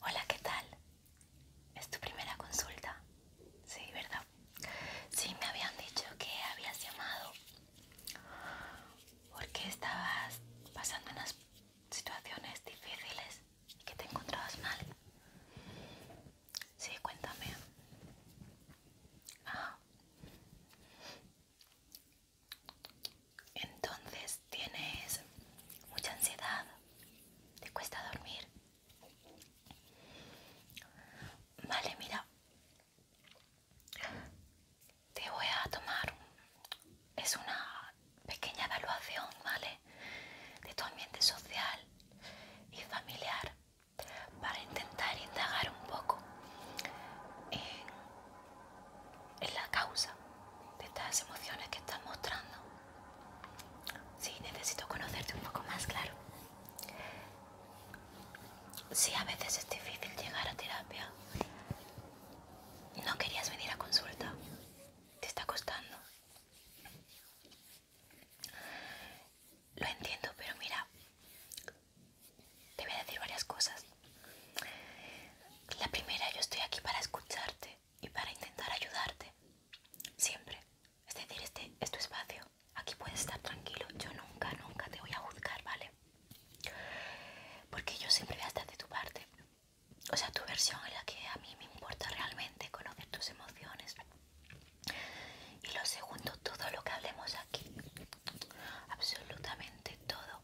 Hola, ¿qué tal? ¿Es tu primera consulta? Sí, ¿verdad? Sí, me habían dicho que habías llamado porque estabas pasando unas situaciones difíciles y que te encontrabas mal. Sí, cuéntame. Ah. Entonces tienes mucha ansiedad, te cuesta dormir. Vale, mira, te voy a tomar, es una pequeña evaluación, ¿vale? De tu ambiente social y familiar para intentar indagar un poco es la causa de estas emociones que estás mostrando. Sí, necesito conocerte un poco más, claro. Sí, a veces es difícil llegar a terapia. No querías venir a consulta. Te está costando. Lo entiendo, pero mira, te voy a decir varias cosas. La primera, yo estoy aquí para escucharte y para intentar ayudarte. Siempre. Es decir, este es tu espacio. Aquí puedes estar tranquilo. Yo nunca, nunca te voy a juzgar, ¿vale? Porque yo siempre voy a estar de tu parte. O sea, tu versión es la que a mí me importa realmente, conocer tus emociones. Y lo segundo, todo lo que hablemos aquí, Absolutamente todo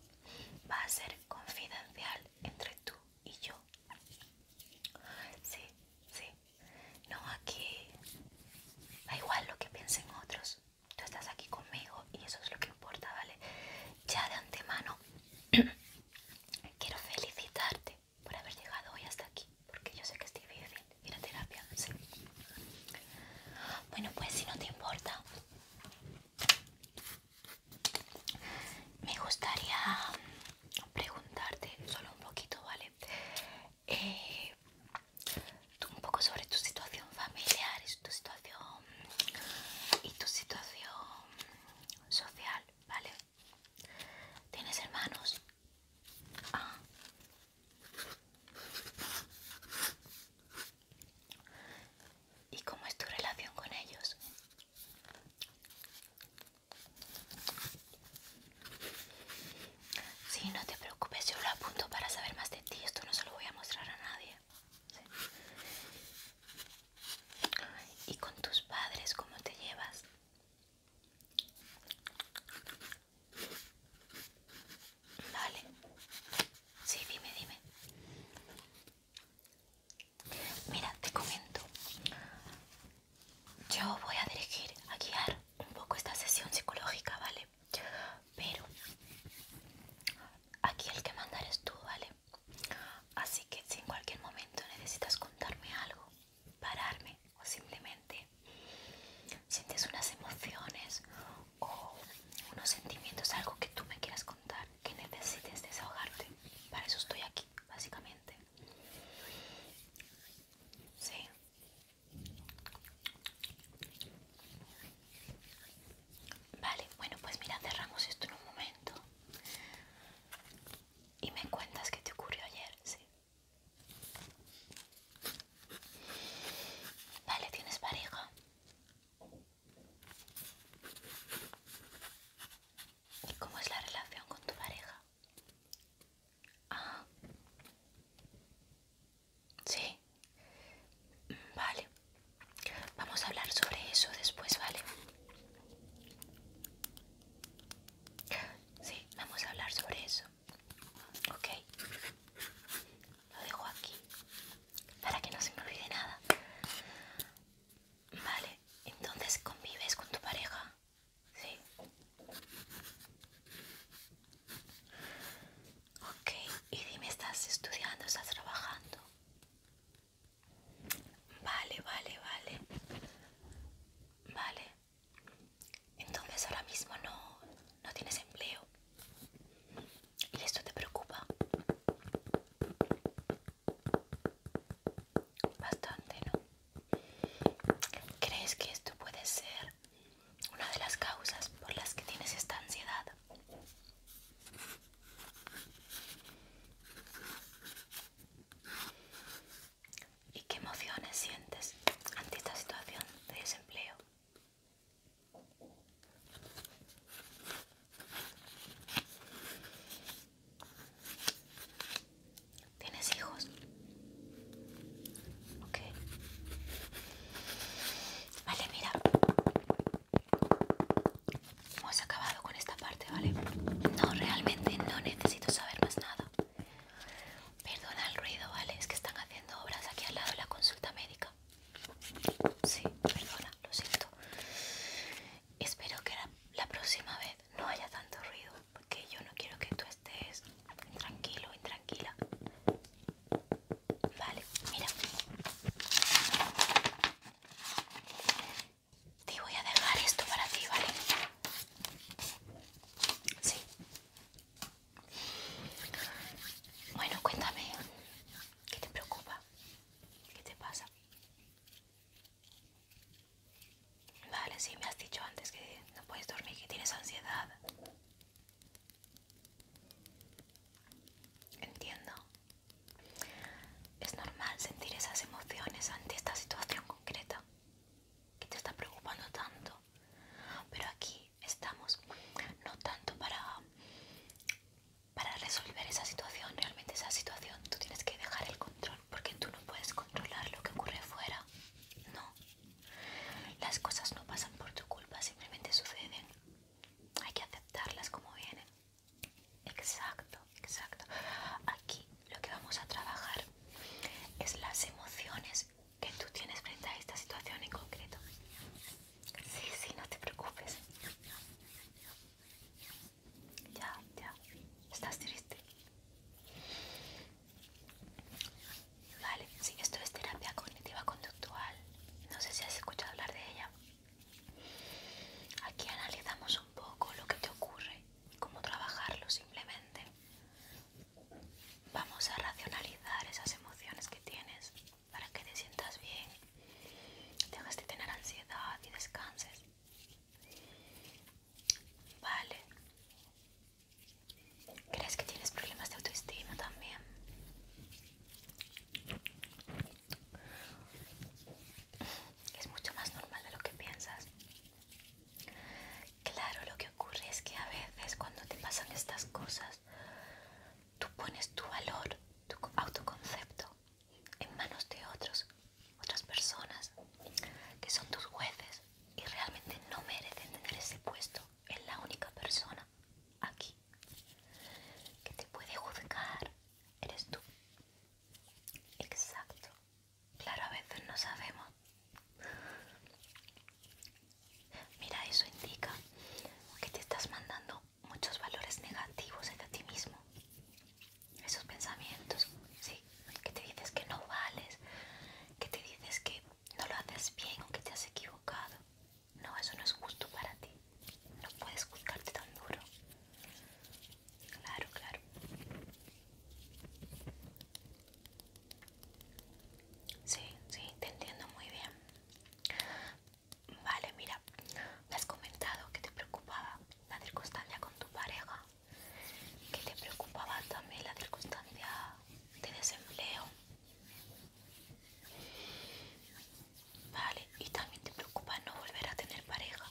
va a ser confidencial entre tú y yo. Sí, sí. No aquí. Da igual lo que piensen otros. Tú estás aquí conmigo y eso es lo que importa, ¿vale? Ya de antemano quiero felicitarte por haber llegado hoy hasta aquí, porque yo sé que es difícil ir a terapia, ¿sí? Bueno, pues si no te importa, me gustaría preguntarte solo un poquito, ¿vale? Eh, un poco sobre tu situación familiar y tu situación y tu situación social, ¿vale? ¿Tienes hermanos? Ah. ¿Y cómo es tu relación con ellos? Sí, no te preocupes, yo lo apunto para saber más de ti. Esto no se lo voy a mostrar a nadie. ¿Y con tus padres cómo te llevas? Vale. Sí, dime, dime. Mira, te comento. Yo voy a dirigir, a guiar un poco esta sesión psicológica, ¿vale? Pero aquí el que manda eres tú, ¿vale? Así que si en cualquier momento necesitas contarme algo, pararme o simplemente sientes unas emociones o unos sentimientos, algo que tú me quieras contar, que necesites desahogarte. Para eso estoy aquí, básicamente. Sí. Vale, bueno, pues mira, cerramos esto en un momento. Y me cuentas qué te ocurrió ayer, ¿sí? Vale, ¿tienes pareja? cómo es la relación con tu pareja? Ah. Sí. Vale. Vamos a hablar sobre eso después, ¿vale? Sí, vamos a hablar sobre eso. Ok lo dejo aquí para que no se me olvide nada. Vale, entonces convives con tu pareja. Sí. Ok, y dime, ¿estás estudiando? ¿Estás trabajando? Vale, vale, vale. Vale. Entonces ahora mismo no, no tienes empleo. ¿Y esto te preocupa? Bastante, ¿no? ¿Crees que esto puede ser una de las causas por las que tienes esta ansiedad? ¿Y qué emociones sientes ante esta situación de desempleo? ¿Tienes hijos? Ok. Vale, mira. Hemos acabado con esta parte, ¿vale? No, realmente no necesito saber más nada. Perdona el ruido, ¿vale? Es que están haciendo obras aquí al lado de la consulta médica. Sí, perdona, lo siento. Espero que la, próxima vez no haya tanto ruido, porque yo no quiero que tú estés tranquilo, intranquila. Vale, mira. Te voy a dejar esto para ti, ¿vale? Sí. Bueno, cuéntame, ¿qué te preocupa? ¿Qué te pasa? Vale, sí, me has dicho antes que no puedes dormir, que tienes ansiedad. Entiendo. Es normal sentir esas emociones ante esta situación concreta que te está preocupando tanto. Pero aquí estamos, no tanto para, para resolver esa situación, realmente esa situación tú tienes que dejar el control porque tú no puedes controlar lo que ocurre fuera, no, las cosas no pasan por tu culpa, simplemente suceden, hay que aceptarlas como vienen. Exacto, exacto. Aquí lo que vamos a trabajar es las emociones que tú tienes frente a esta situación en concreto. Sí, sí, no te preocupes. Ya, ya. ¿Estás triste? Vale, sí, esto es terapia cognitiva conductual. No sé si has escuchado hablar de ella. Aquí analizamos un poco lo que te ocurre, y cómo trabajarlo simplemente. Vamos a racionalizar esas emociones que tienes para que te sientas bien, dejes de tener ansiedad y descanses. Vale. ¿Crees que tienes problemas de autoestima también? Es mucho más normal de lo que piensas. Claro, lo que ocurre es que a veces cuando te pasan estas cosas tú pones tu valor, tu autoconcepto en manos de otros, otras personas que son tus jueces y realmente no merecen tener ese puesto. Es la única persona aquí que te puede juzgar, eres tú. Exacto. Claro, a veces no sabemos. Mira, eso indica que te estás mandando muchos valores negativos hacia ti mismo. Esos pensamientos, sí, que te dices que no vales, que te dices que no lo haces bien o que te has equivocado. No, eso no es justo para ti. No puedes juzgarte tan duro. Claro, claro. Sí, sí, te entiendo muy bien. Vale, mira, me has comentado que te preocupaba la circunstancia con tu pareja, que te preocupaba también la circunstancia de desempleo. Vale, y también te preocupa no volver a tener pareja.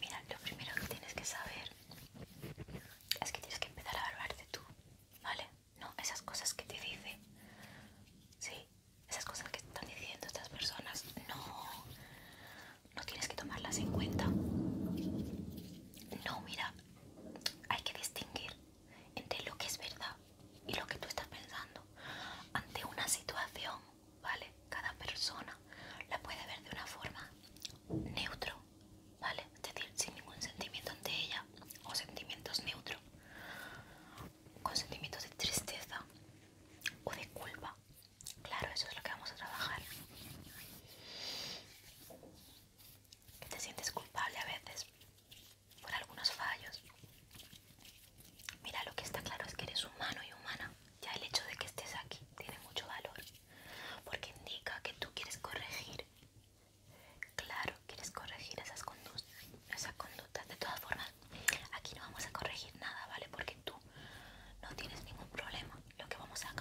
Mira, lo primero que tienes que saber es que tienes que empezar a evaluarte tú, ¿vale? no, esas cosas que te dicen, sí, esas cosas que están diciendo estas personas, no, no tienes que tomarlas en cuenta. No, mira, hay que distinguir entre lo que es verdad y lo que tú estás pensando ante una situación, ¿vale? Cada persona la puede ver de una forma neutra ¿vale? Es decir, sin ningún sentimiento ante ella o sentimientos neutro con sentimientos de tristeza o de culpa. Claro, eso es lo que vamos a trabajar. Que te sientes culpable a veces por algunos fallos. Mira, lo que está claro es que eres humano y humana. Ya el hecho de que estés aquí tiene mucho valor, porque indica que tú quieres corregir Claro, quieres corregir esas conductas, De todas formas, aquí no vamos a corregir nada, ¿vale? Porque tú no tienes ningún problema. Lo que vamos a,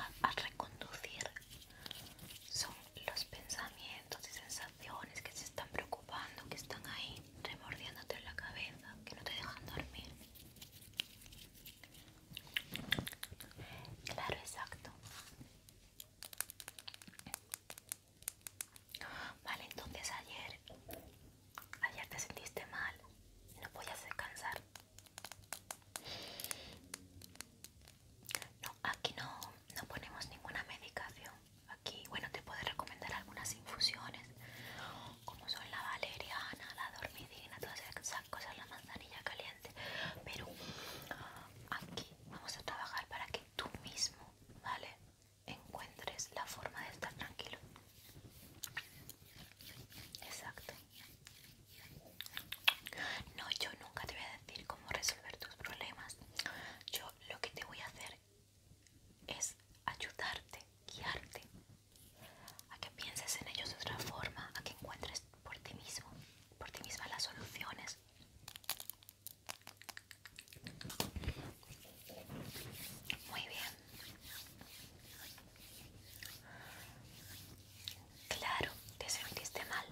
reconducir son los pensamientos y sensaciones que se están preocupando, que están ahí remordiéndote en la cabeza, que no te dejan dormir. Claro, exacto. Vale, entonces ayer, ayer te sentiste mal, no podías descansar. No, aquí no, no ponemos ninguna medicación. Aquí, bueno, te puedo recomendar algunas infusiones, como son la valeriana, la dormidina, todas esas cosas, la manzanilla caliente. Pero aquí vamos a trabajar para que tú mismo, ¿vale? Encuentres la forma de estar tranquilo. Exacto. No, yo nunca te voy a decir cómo resolver tus problemas. Yo lo que te voy a hacer es ayudarte, guiarte, a que pienses en ellos de otra forma, a que encuentres por ti mismo, por ti misma las soluciones muy bien. Claro, te sentiste mal.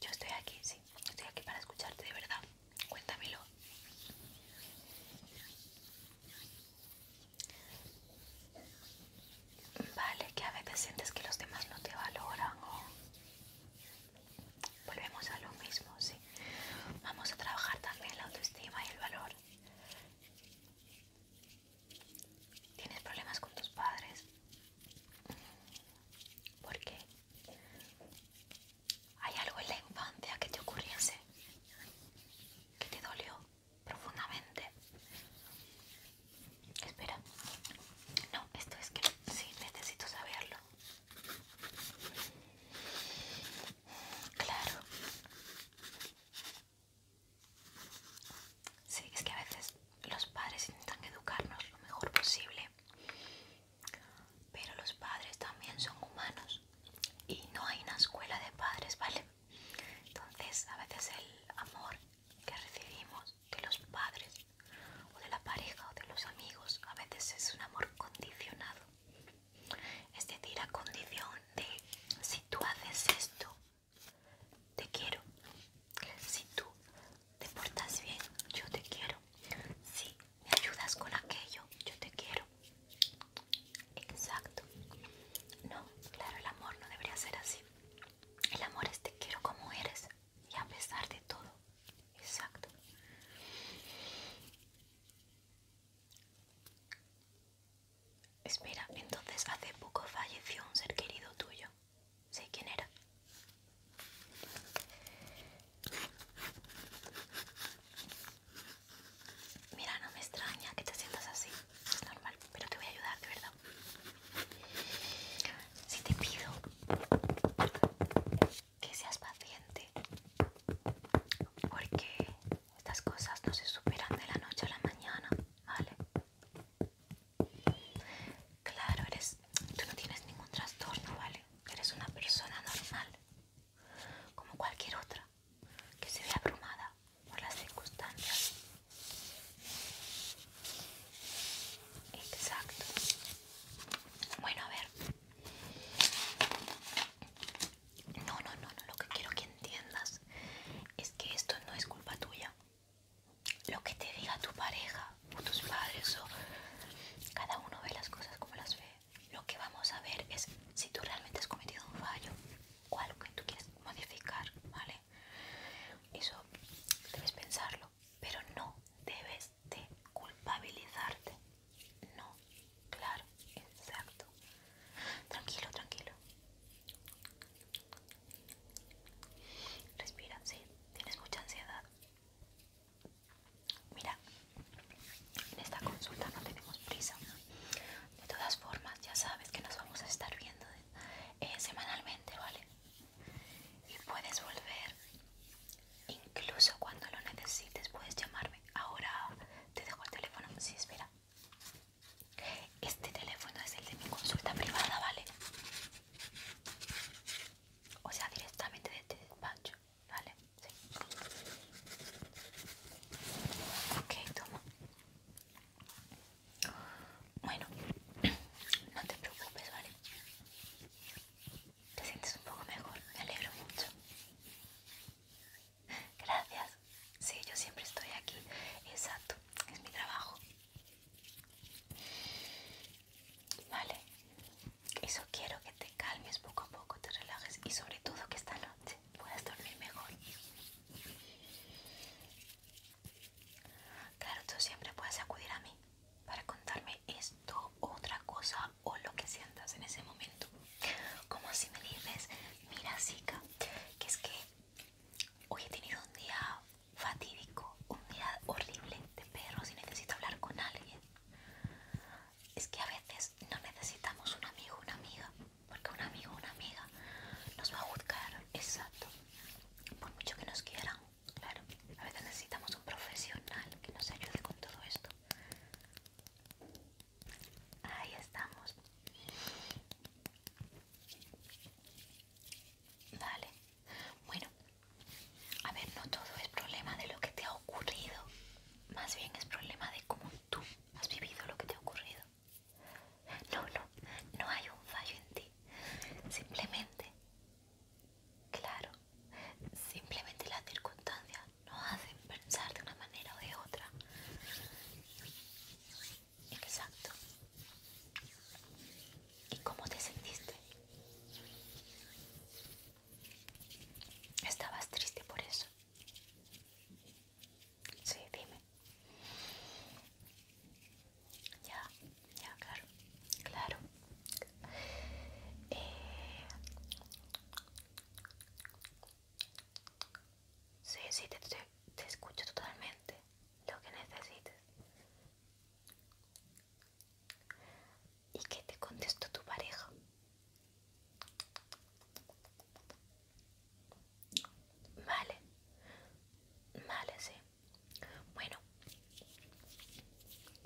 Yo estoy aquí, sí. Estoy aquí para escucharte de verdad. Cuéntamelo. Vale, que a veces sientes que los demás no te valoran Volvemos a lo mismo, sí. Vamos a trabajar también la autoestima y el valor. ¿Tienes problemas con tus padres? ¿Por qué? ¿Hay algo en la infancia que te ocurriese? ¿Que te dolió? profundamente. Espera. No, esto es que sí, necesito saberlo. Claro. Sí, es que a veces los padres intentan educarnos lo mejor posible, pero los padres también son humanos y no hay una escuela de padres, ¿vale? Entonces, a veces el amor que recibimos de los padres o de la pareja o de los amigos, a veces es un amor condicionado. Es decir, a condición de si tú haces esto, te quiero. Si tú te portas bien, yo te quiero. Si me ayudas con aquello, yo te quiero. Exacto. No, claro, el amor no debería ser así. El amor es te quiero como eres y a pesar de todo. Exacto. Espera, entonces hace poco falleció un ser querido tuyo. ¿Sí quién era? Mira, no me extraña que te sientas así es normal, pero te voy a ayudar de verdad. Si te pido que seas paciente, porque estas cosas no se superan de la noche a la mañana, ¿vale? Claro, eres, tú no tienes ningún trastorno, ¿vale? Eres una persona normal, como cualquier otra que se ve abrumada por las circunstancias. Exacto. Bueno, a ver. No, no, no, no, lo que quiero que entiendas es que esto no es culpa tuya. Lo que te diga tu pareja o tus padres o cada uno ve las cosas como las ve. Lo que vamos a ver es si tú realmente has cometido un fallo o algo que tú quieres modificar, ¿vale? Eso debes pensarlo, pero no debes de culpabilizarte. No, claro, exacto. Tranquilo, tranquilo. Respira, sí, tienes mucha ansiedad. Mira, en esta consulta no tenemos prisa. De todas formas, ya sabes que nos vamos a estar viendo eh, semanalmente, ¿vale? Y puedes volver, incluso cuando lo necesites, puedes llamarme. Ahora te dejo el teléfono. si espera. Este teléfono es el de mi consulta privada, ¿vale? O sea, directamente de el este despacho, ¿vale? Sí. Ok, toma. Bueno, no te preocupes, ¿vale? Te sientes un poco mejor, me alegro mucho. Gracias. Sí, yo siempre estoy aquí. Exacto, es mi trabajo. Vale, eso quiero que te calmes poco a poco, te relajes y sobre todo que esta noche Puedes dormir mejor. Claro, tú siempre puedes acudir a mí para contarme esto, otra cosa o lo que sientas en ese momento. Como si me dices, mira, chica, que es que hoy he tenido un día fatídico, un día horrible de perros y necesito hablar con alguien. Es que a veces no necesitamos un amigo o una amiga, porque un amigo o una amiga nos va a juzgar, exacto, por mucho que nos quieran, claro, a veces necesitamos un profesional que nos ayude con todo esto. Ahí estamos. Vale, bueno, a ver, no todo es problema de lo que te ha ocurrido, más bien es problema de cómo tú has vivido lo que te ha ocurrido. No, no, no hay un fallo en ti. Simplemente, claro, simplemente las circunstancias nos hacen pensar de una manera o de otra. Exacto. ¿Y cómo te sentiste? ¿Estabas triste por eso? Sí, dime. Ya, ya, claro, claro. Eh... Sí, sí, te, escucho totalmente. Lo que necesites. ¿Y qué te contestó tu pareja? Vale, vale, sí. Bueno,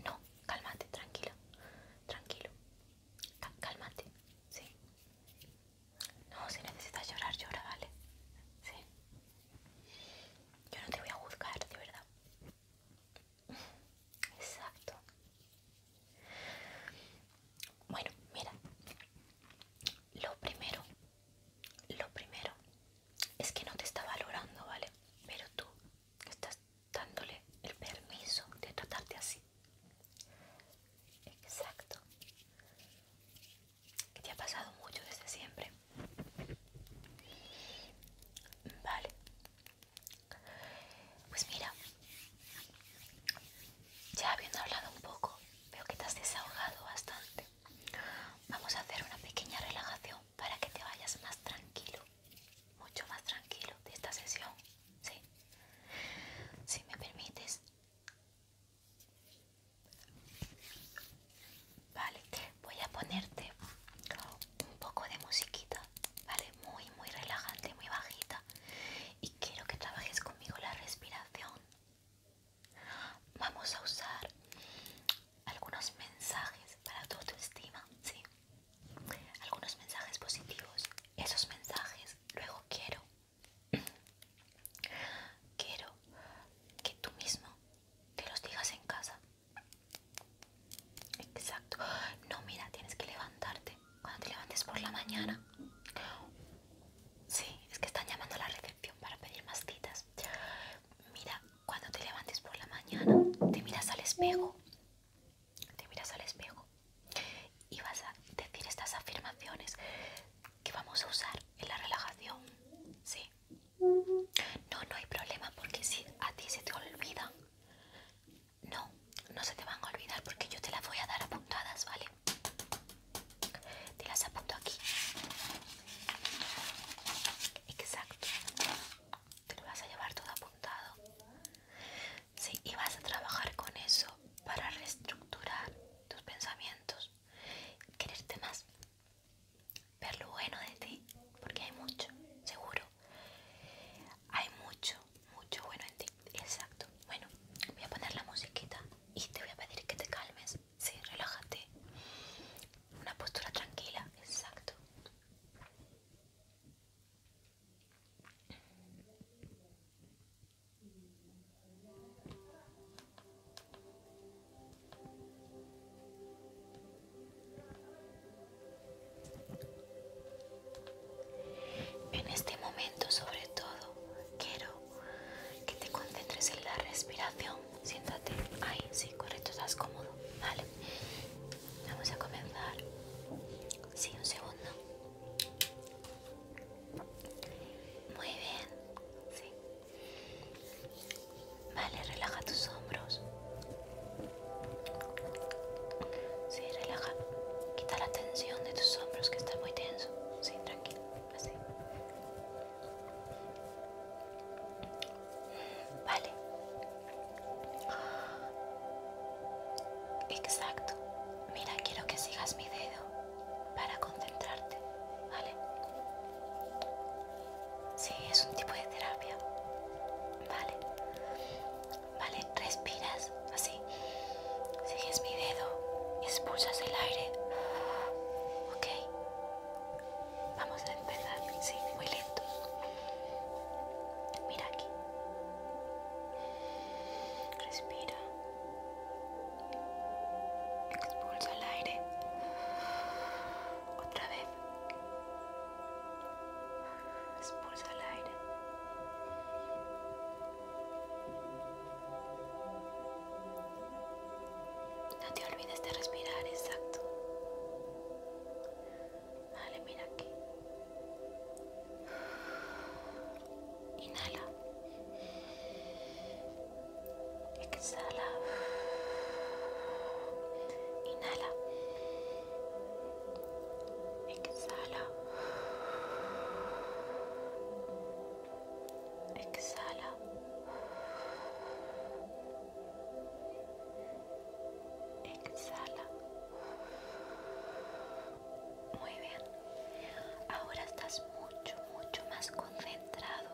no, cálmate, tranquilo, tranquilo, cálmate, sí. No, si necesitas llorar, llora, vale, sí. Yo no te voy a juzgar, de verdad. Exacto. Bueno, mira, lo primero, lo primero es que no te está valorando, ¿vale? Pero tú estás dándole el permiso de tratarte así. Exacto. Que te ha pasado mucho desde siempre. Vale. Pues mira, ya habiendo hablado un poco, veo que te has desahogado bastante. Vamos a hacer una pequeña relajación para que te vayas más tranquilo, mucho más tranquilo de esta sesión. ¿sí? Si me permites. Vale, voy a ponerte un poco de musiquita, ¿vale? Muy, muy relajante, muy bajita. Y quiero que trabajes conmigo la respiración, Vamos a usar algunos mensajes para tu autoestima, ¿sí? Algunos mensajes positivos. Esos mensajes luego quiero. quiero que tú mismo te los digas en casa. Exacto. No, mira, tienes que levantarte. Cuando te levantes por la mañana, Sí, es que están llamando a la recepción para pedir más citas. Mira, cuando te levantes por la mañana, te miras al espejo. Te miras al espejo. Y vas a decir estas afirmaciones que vamos a usar en la relajación. Sí. No, no hay problema porque si a ti se te olvidan, no, no se te van a olvidar porque yo te las voy a dar apuntadas, ¿vale? Te las apunto aquí. Exacto. Te lo vas a llevar todo apuntado. Sí, y vas a trabajar con eso para reestructurar tus pensamientos, quererte más, ver lo bueno de ti, porque hay mucho, seguro. Hay mucho, mucho bueno en ti. Exacto. Bueno, voy a poner la musiquita y te voy a pedir que te calmes. Sí, relájate. Una postura tranquila. Exacto. En este momento sobre todo quiero que te concentres en la respiración. Siéntate. Ahí, sí, correcto, estás cómodo. Vale. Vamos a comenzar. Sí, un segundo. Muy bien. Sí. Vale, relaja tus hombros. Sí, relaja. Quita la tensión de tus hombros que está muy tenso. Sí, tranquilo así vale exacto mira quiero que sigas mi dedo para concentrarte vale sí es un tipo de terapia vale vale respiras así. Sigues mi dedo y expulsas el aire. Ok. Vamos a empezar, sí, muy lento Mira aquí. Respira. Expulsa el aire. Otra vez. Expulsa el aire. No te olvides de respirar, exacto. dale, mira aquí. Inhala. Exhala. Inhala. Exhala. Exhala. Exhala. Muy bien. Ahora estás mucho, mucho más concentrado.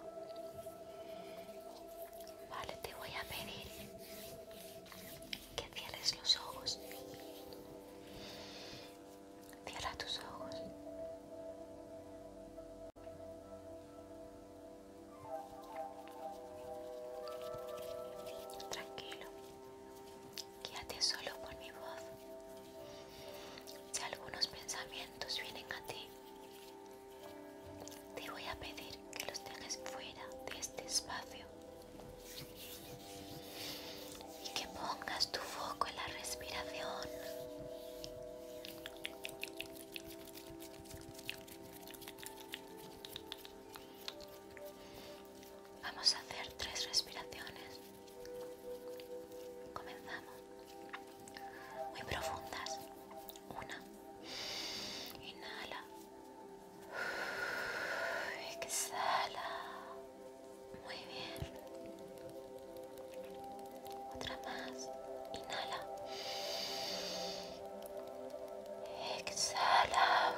Vale, te voy a pedir que cierres los ojos Cierra tus ojos. Tranquilo. Quédate solo por mi voz. Si algunos pensamientos vienen a ti, te voy a pedir que los dejes fuera de este espacio y que pongas tu foco en la respiración. Vamos a hacer tres respiraciones. Comenzamos. Muy profundas. Una. Inhala. Exhala. Muy bien. Otra más. Inhala. Exhala.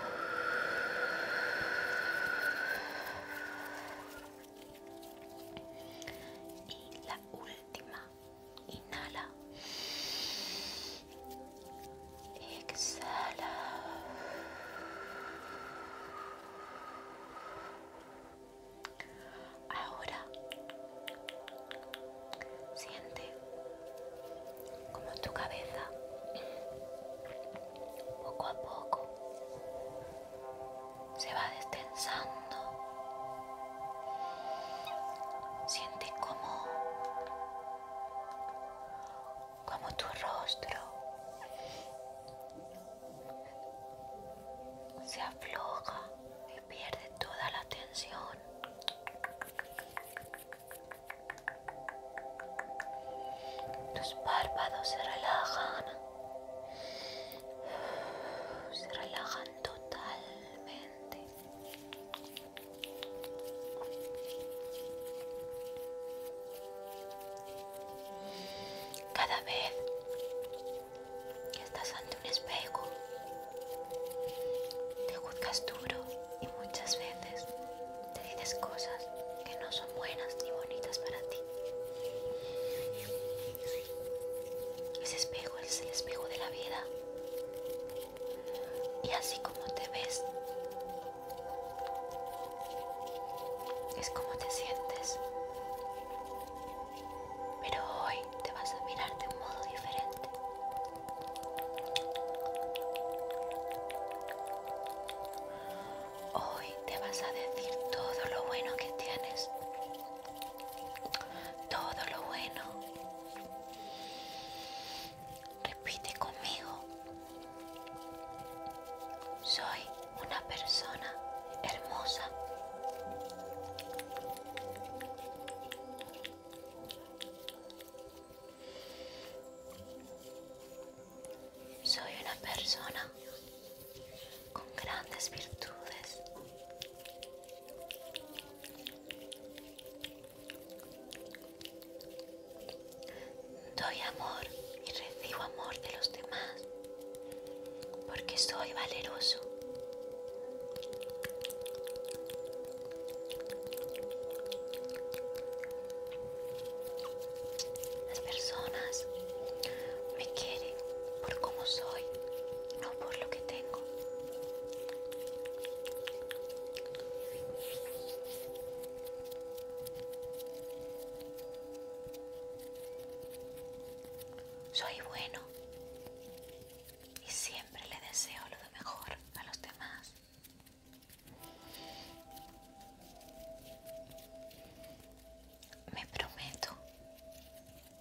Y la última. Inhala. Exhala. Ahora siente como tu cabeza poco a poco se va destensando. Siente como como tu rostro se afloja y pierde toda la tensión. Tus párpados se relajan, se relajan totalmente. Cada vez que estás ante un espejo, te juzgas duro y muchas veces te dices cosas que no son buenas ni bonitas para ti. Ese espejo es el espejo de la vida. Y así como te ves, es como te sientes. Pero hoy te vas a mirar de un modo diferente. Hoy te vas a decir todo lo bueno que tienes. Todo lo bueno. Repite conmigo. Soy una persona hermosa. Soy una persona con grandes virtudes. Doy amor y recibo amor de los demás porque soy valeroso. Las personas me quieren por cómo soy, no por lo que tengo. Soy bueno y siempre le deseo lo mejor a los demás. Me prometo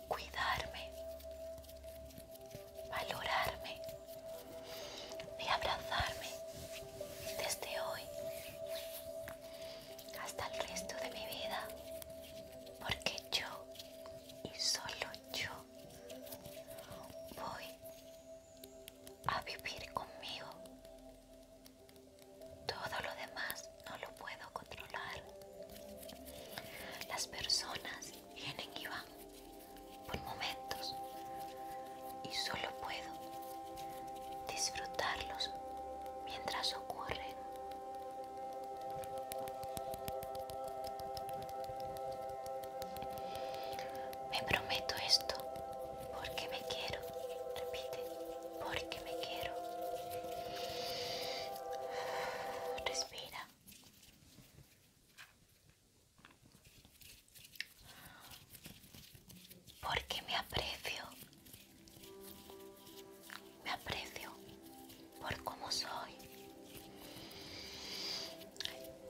cuidarme, valorarme y abrazarme desde hoy hasta el resto de mi vida, porque yo y solo yo voy a vivir conmigo. Todo lo demás no lo puedo controlar. Las personas vienen y van por momentos, y solo puedo disfrutarlos mientras ocurren. Me prometo esto porque me quiero. Repite, porque me quiero. Respira. Porque me aprecio. Me aprecio por cómo soy.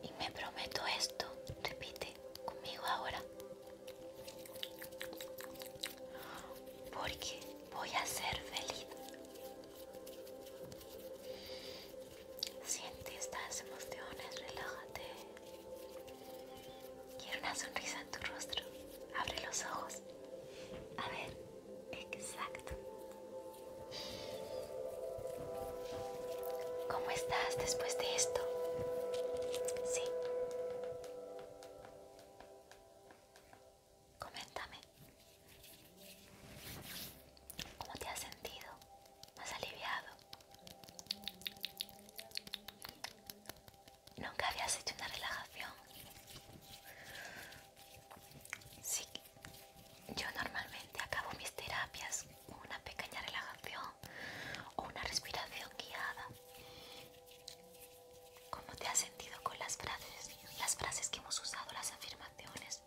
Y me prometo esto. Repite conmigo ahora. Porque voy a ser feliz. Siente estas emociones, relájate. Quiero una sonrisa en tu rostro. Abre los ojos. A ver, exacto. ¿Cómo estás después de esto? Sí. Coméntame. ¿Cómo te has sentido? ¿Más aliviado? Nunca habías hecho una relajación. Sí, yo normalmente acabo mis terapias con una pequeña relajación o una respiración guiada. ¿Cómo te has sentido con las frases? Las frases que hemos usado, las afirmaciones.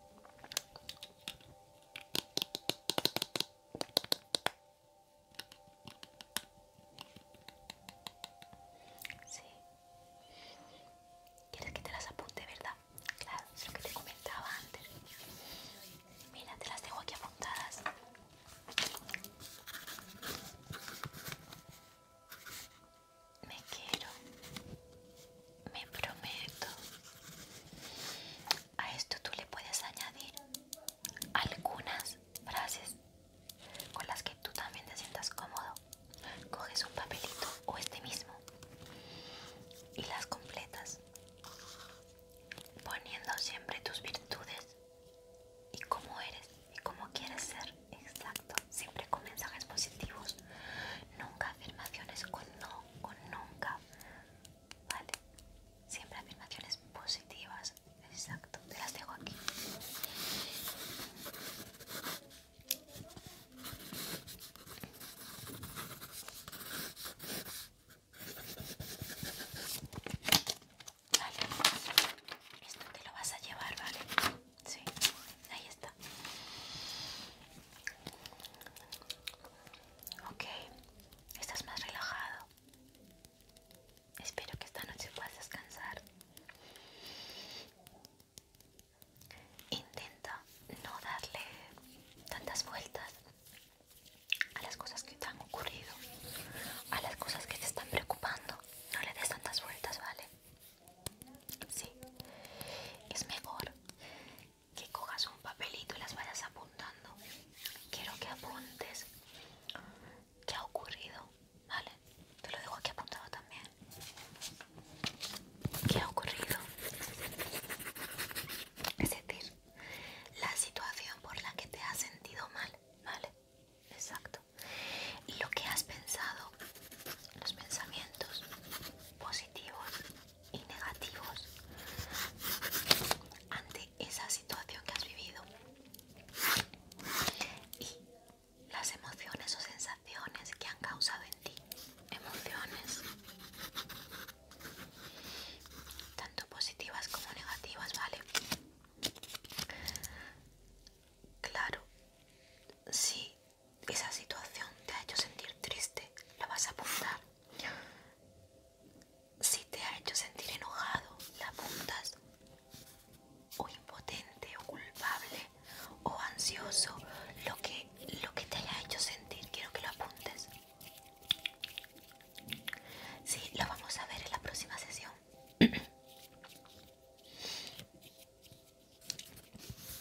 Sí. ¿Quieres que te las apunte, verdad? Claro, es lo que te comentaba antes. Mira, te las dejo aquí apuntadas. Me quiero. Me prometo. A esto tú le puedes añadir algunas frases con las que tú también te sientas cómodo. Coges un papelito o este mismo y las completas, poniendo siempre tus virtudes y cómo eres y cómo quieres ser. Exacto, siempre con mensajes positivos, nunca afirmaciones con no, con nunca. ¿vale? Siempre afirmaciones positivas, exacto, te las dejo aquí. Vale, esto te lo vas a llevar, ¿vale? Sí, ahí está. Ok, estás más relajado. Espero que esta noche puedas descansar. Intenta no darle tantas vueltas a las cosas que te han ocurrido, a las cosas que te están preocupando. No le des tantas vueltas, ¿vale? Sí. Es mejor que cojas un papelito y las vayas apuntando quiero que apuntes qué ha ocurrido, ¿vale? Te lo dejo aquí apuntado también. ¿Qué ha ocurrido? Es decir, la situación por la que te has sentido mal, ¿vale? Exacto. Y lo que has pensado, los pensamientos positivos y negativos ante esa situación que has vivido y las emociones o sensaciones que han causado en ti. Emociones tanto positivas como negativas, ¿vale? Claro, si esa situación te ha hecho sentir triste, la vas a apuntar si te ha hecho sentir enojado, la apuntas, o impotente, o culpable, o ansioso, lo que, lo que te haya hecho sentir, quiero que lo apuntes. Sí, lo vamos a ver en la próxima sesión.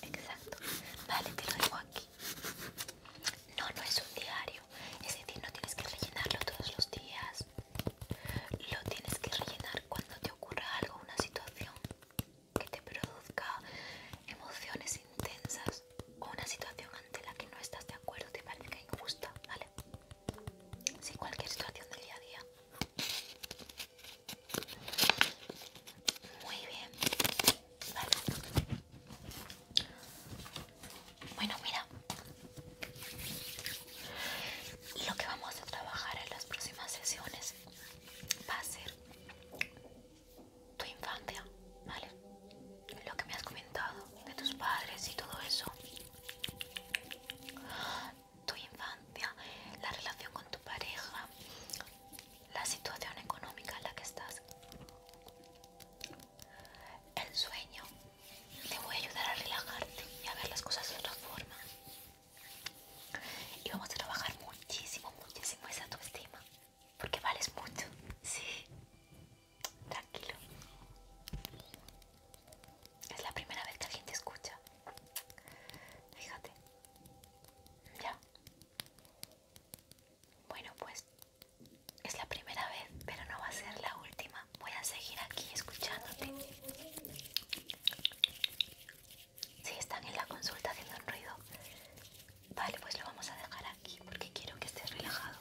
Exacto, vale, te lo dejo aquí. No, no es un diario. Es decir, no tienes que rellenarlo todos los días. Lo tienes que rellenar cuando te ocurra algo, una situación que te produzca emociones intensas o una situación ante la que no estás de acuerdo, te parece injusta, ¿vale? Sí, cualquier situación del día a día. Muy bien, vale. Bueno, mira. Lo que vamos a trabajar en las próximas sesiones va a ser tu infancia, ¿vale? Lo que me has comentado de tus padres y todo eso. Tu infancia, la relación con tu pareja, la situación económica en la que estás. El sueño, te voy a ayudar a relajarte y a ver las cosas de otra forma. Y vamos a trabajar muchísimo, muchísimo esa autoestima. Porque vales mucho, sí. Tranquilo. Es la primera vez que alguien te escucha. Fíjate. Ya. Bueno, pues es la primera vez, pero no va a ser la última. Voy a seguir aquí escuchándote. Si están en la consulta haciendo ruido, vale, pues lo vamos a dejar aquí porque quiero que estés relajado.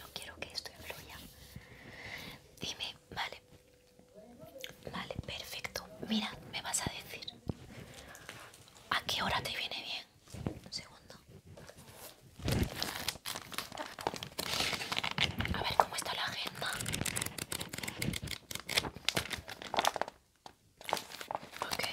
No quiero que esto influya. Dime, vale. Vale, perfecto. Mira, me vas a decir. ¿A qué hora te viene bien? Un segundo. A ver cómo está la agenda. Ok.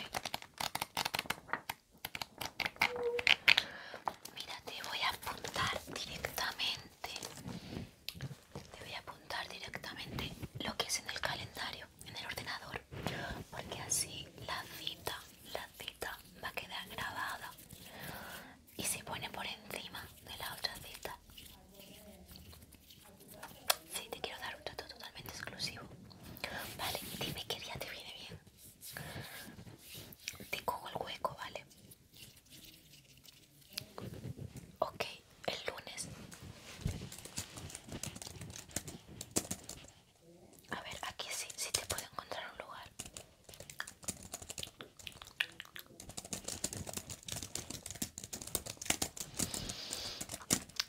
Mira, te voy a apuntar directamente. Te voy a apuntar directamente lo que es en el calendario, en el ordenador. Porque así la cita la cita va a quedar grabada y se pone por encima de la otra cita. Sí, te quiero dar un trato totalmente exclusivo. Vale, dime qué día te viene bien. Te cojo el hueco, ¿vale? Ok, el lunes. A ver, aquí sí, sí te puedo encontrar un lugar.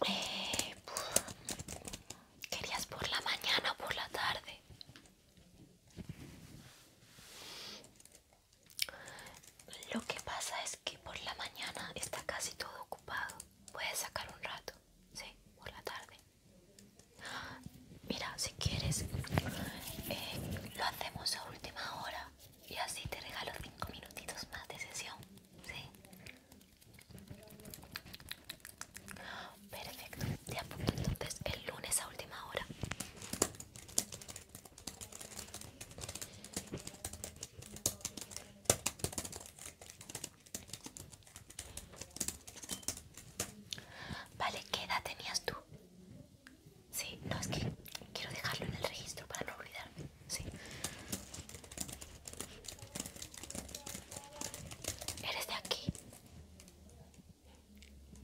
Eh, ¿Querías por la mañana o por la tarde? Lo que pasa es que por la mañana está casi todo ocupado. Puedes sacar un rato, sí, por la tarde. Mira, si quieres, eh, lo hacemos a última hora y así te regalo 5 minutitos más de sesión. Perfecto, te apunto entonces el lunes a última hora. Vale, ¿qué edad tenías tú? Sí, no, es que quiero dejarlo en el registro para no olvidarme. ¿Eres de aquí?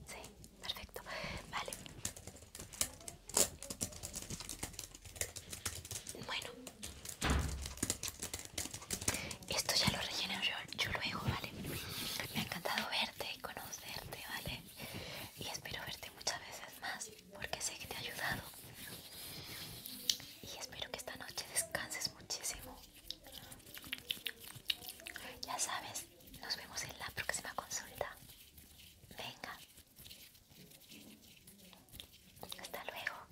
Sí, perfecto. Vale. Bueno. Esto ya lo relleno yo, yo luego, ¿vale? Me ha encantado verte y conocerte, ¿vale? Y espero verte muchas veces más porque sé que te ha ayudado. Y espero que esta noche descanses muchísimo. Ya sabes, nos vemos en la próxima consulta. Venga. Hasta luego.